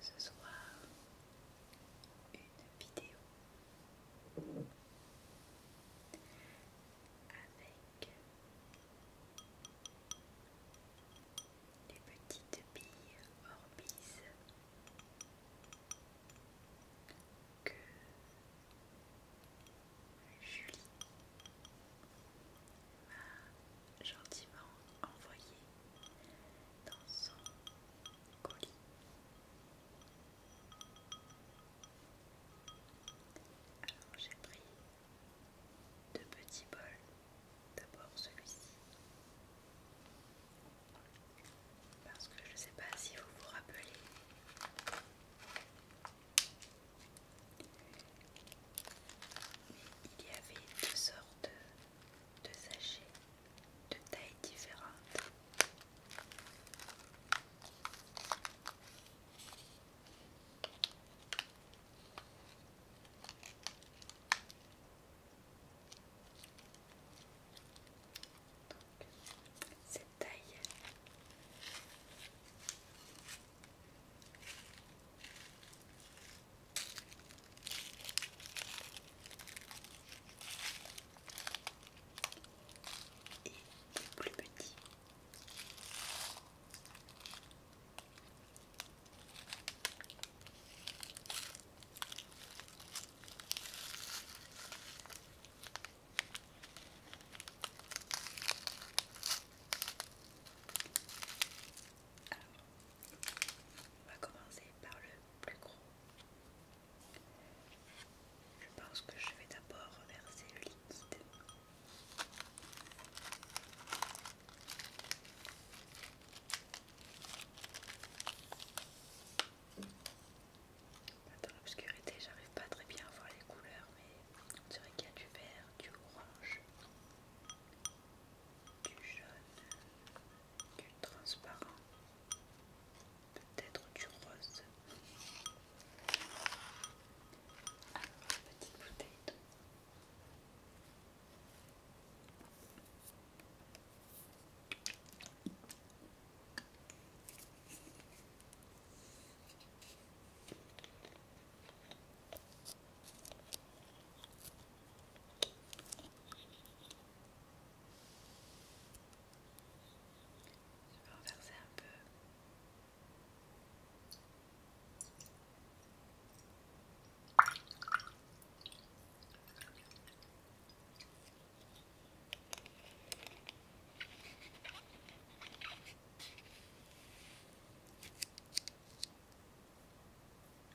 ce soir une vidéo avec les petites billes Orbis que Julie m'a gentiment envoyé dans son alors j'ai pris deux petits bols. D'abord celui-ci. Parce que je ne sais pas si vous vous rappelez. il y avait deux sortes de sachets de tailles différentes. cette taille et plus petit. on va commencer par le plus gros. Je pense que je vais d'abord verser le liquide. Dans l'obscurité, j'arrive pas très bien à voir les couleurs, mais on dirait qu'il y a du vert, du orange, du jaune, du transparent, peut-être du rose. Alors, ah, petite bouteille je vais renverser un peu.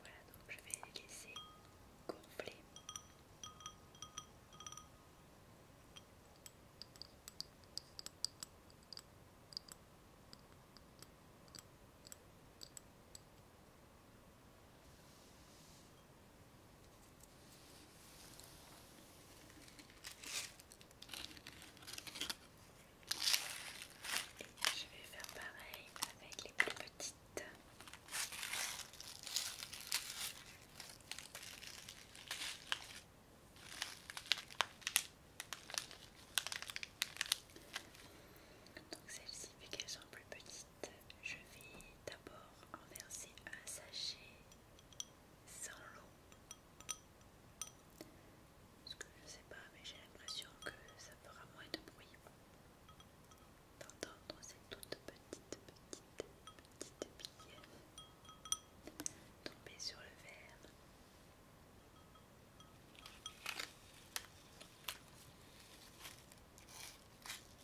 Voilà, donc je vais les laisser gonfler. Et je vais faire pareil avec les plus petites. Donc celle-ci, vu qu'elles sont plus petites, je vais d'abord en verser un sachet sans l'eau. Parce que je sais pas, mais j'ai l'impression que ça fera moins de bruit d'entendre ces toutes petites, petites, petites billes tomber sur le verre.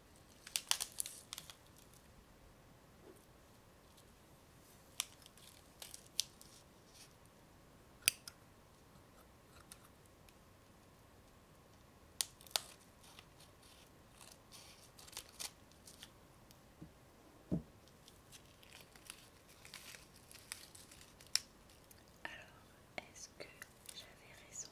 Alors, est-ce que j'avais raison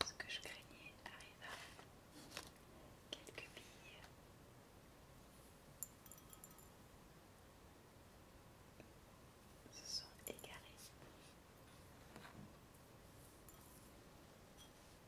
Ce que je craignais arriva. Quelques billes. Se sont égarées.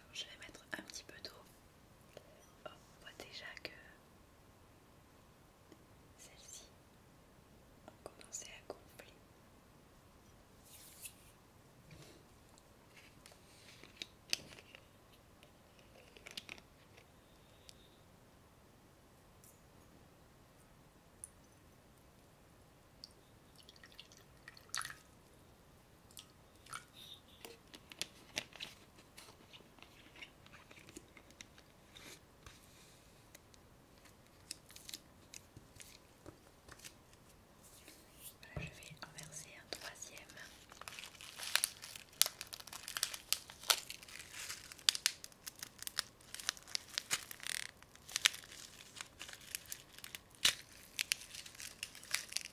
Alors je vais mettre un petit peu d'eau Oh, on voit déjà que celle ci a commencé à gonfler je vais en un troisième.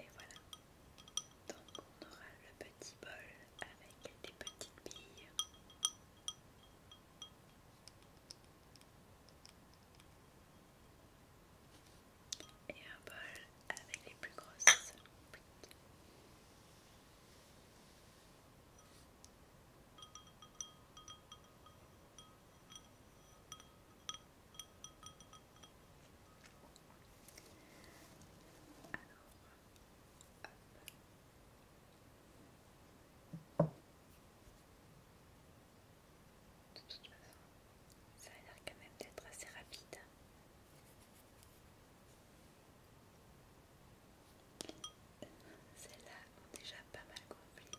Et voilà, donc on aura le petit bol avec des petites billes et un bol avec les plus grosses de toute façon, ça a l'air quand même d'être assez rapide. Celles-là ont déjà pas mal compris.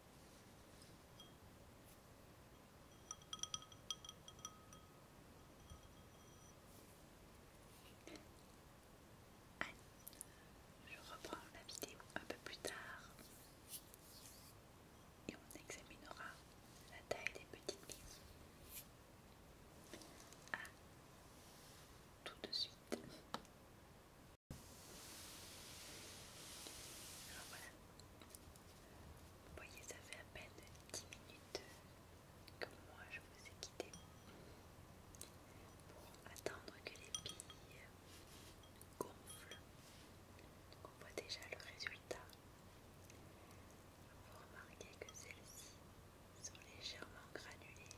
je reprends la vidéo un peu plus tard et on examinera la taille des petites billes. À ah, tout de suite voilà. Vous voyez, ça fait à peine 10 minutes que moi je vous ai quitté pour attendre que les billes gonflent. on voit déjà le résultat. Vous remarquez que celles-ci sont légèrement granulées.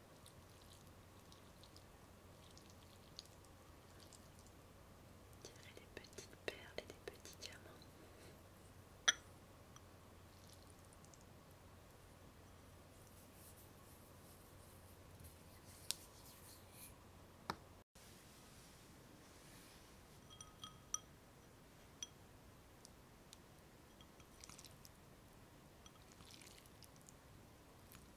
Tirer des petites perles et des petits diamants.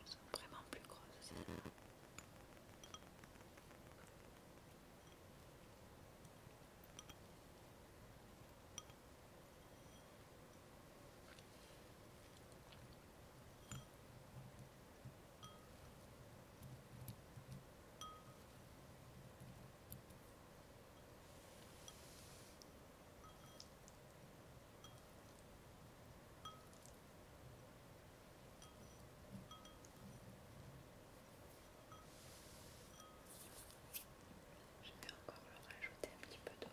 Ils sont vraiment plus grosses je vais encore le rajouter un petit peu d'eau.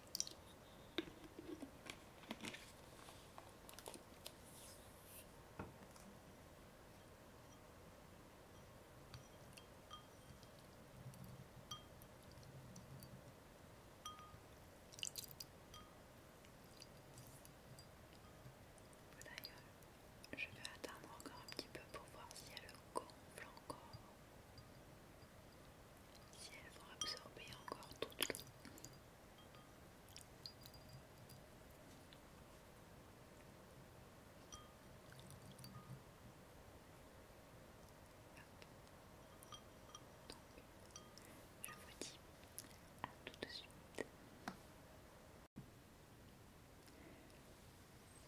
D'ailleurs, je vais attendre encore un petit peu pour voir si elle gonfle encore, si elle va absorber encore toute l'eau je vous dis à tout de suite.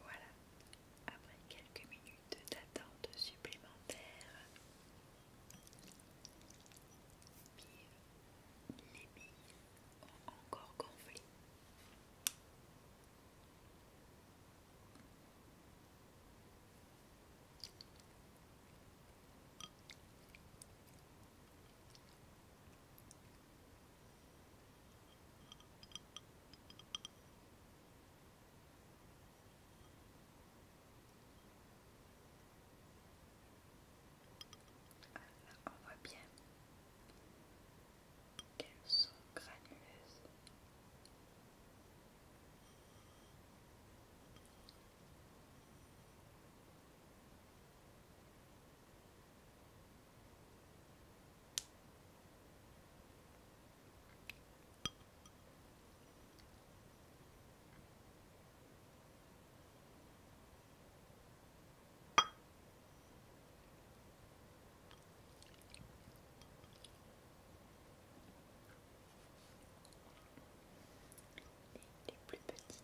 Voilà, après quelques minutes d'attente supplémentaire, les billes ont encore gonflé on voit bien qu'elles sont granuleuses les plus petites.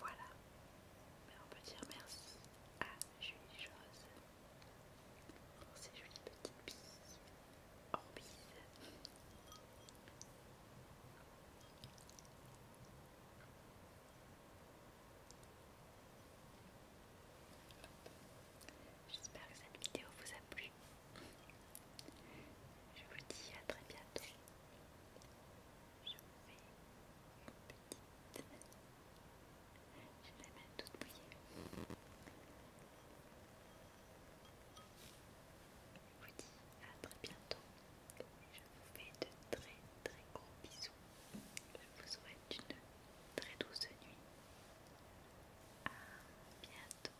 Voilà. on peut dire merci à Julie jose pour ces jolies petites billes en J'espère que cette vidéo vous a plu. Je vous dis à très bientôt je vous fais une petite... Je la main toute mouillée. Je vous dis à très bientôt. Je vous fais de très très gros bisous. Je vous souhaite une très douce nuit. À bientôt.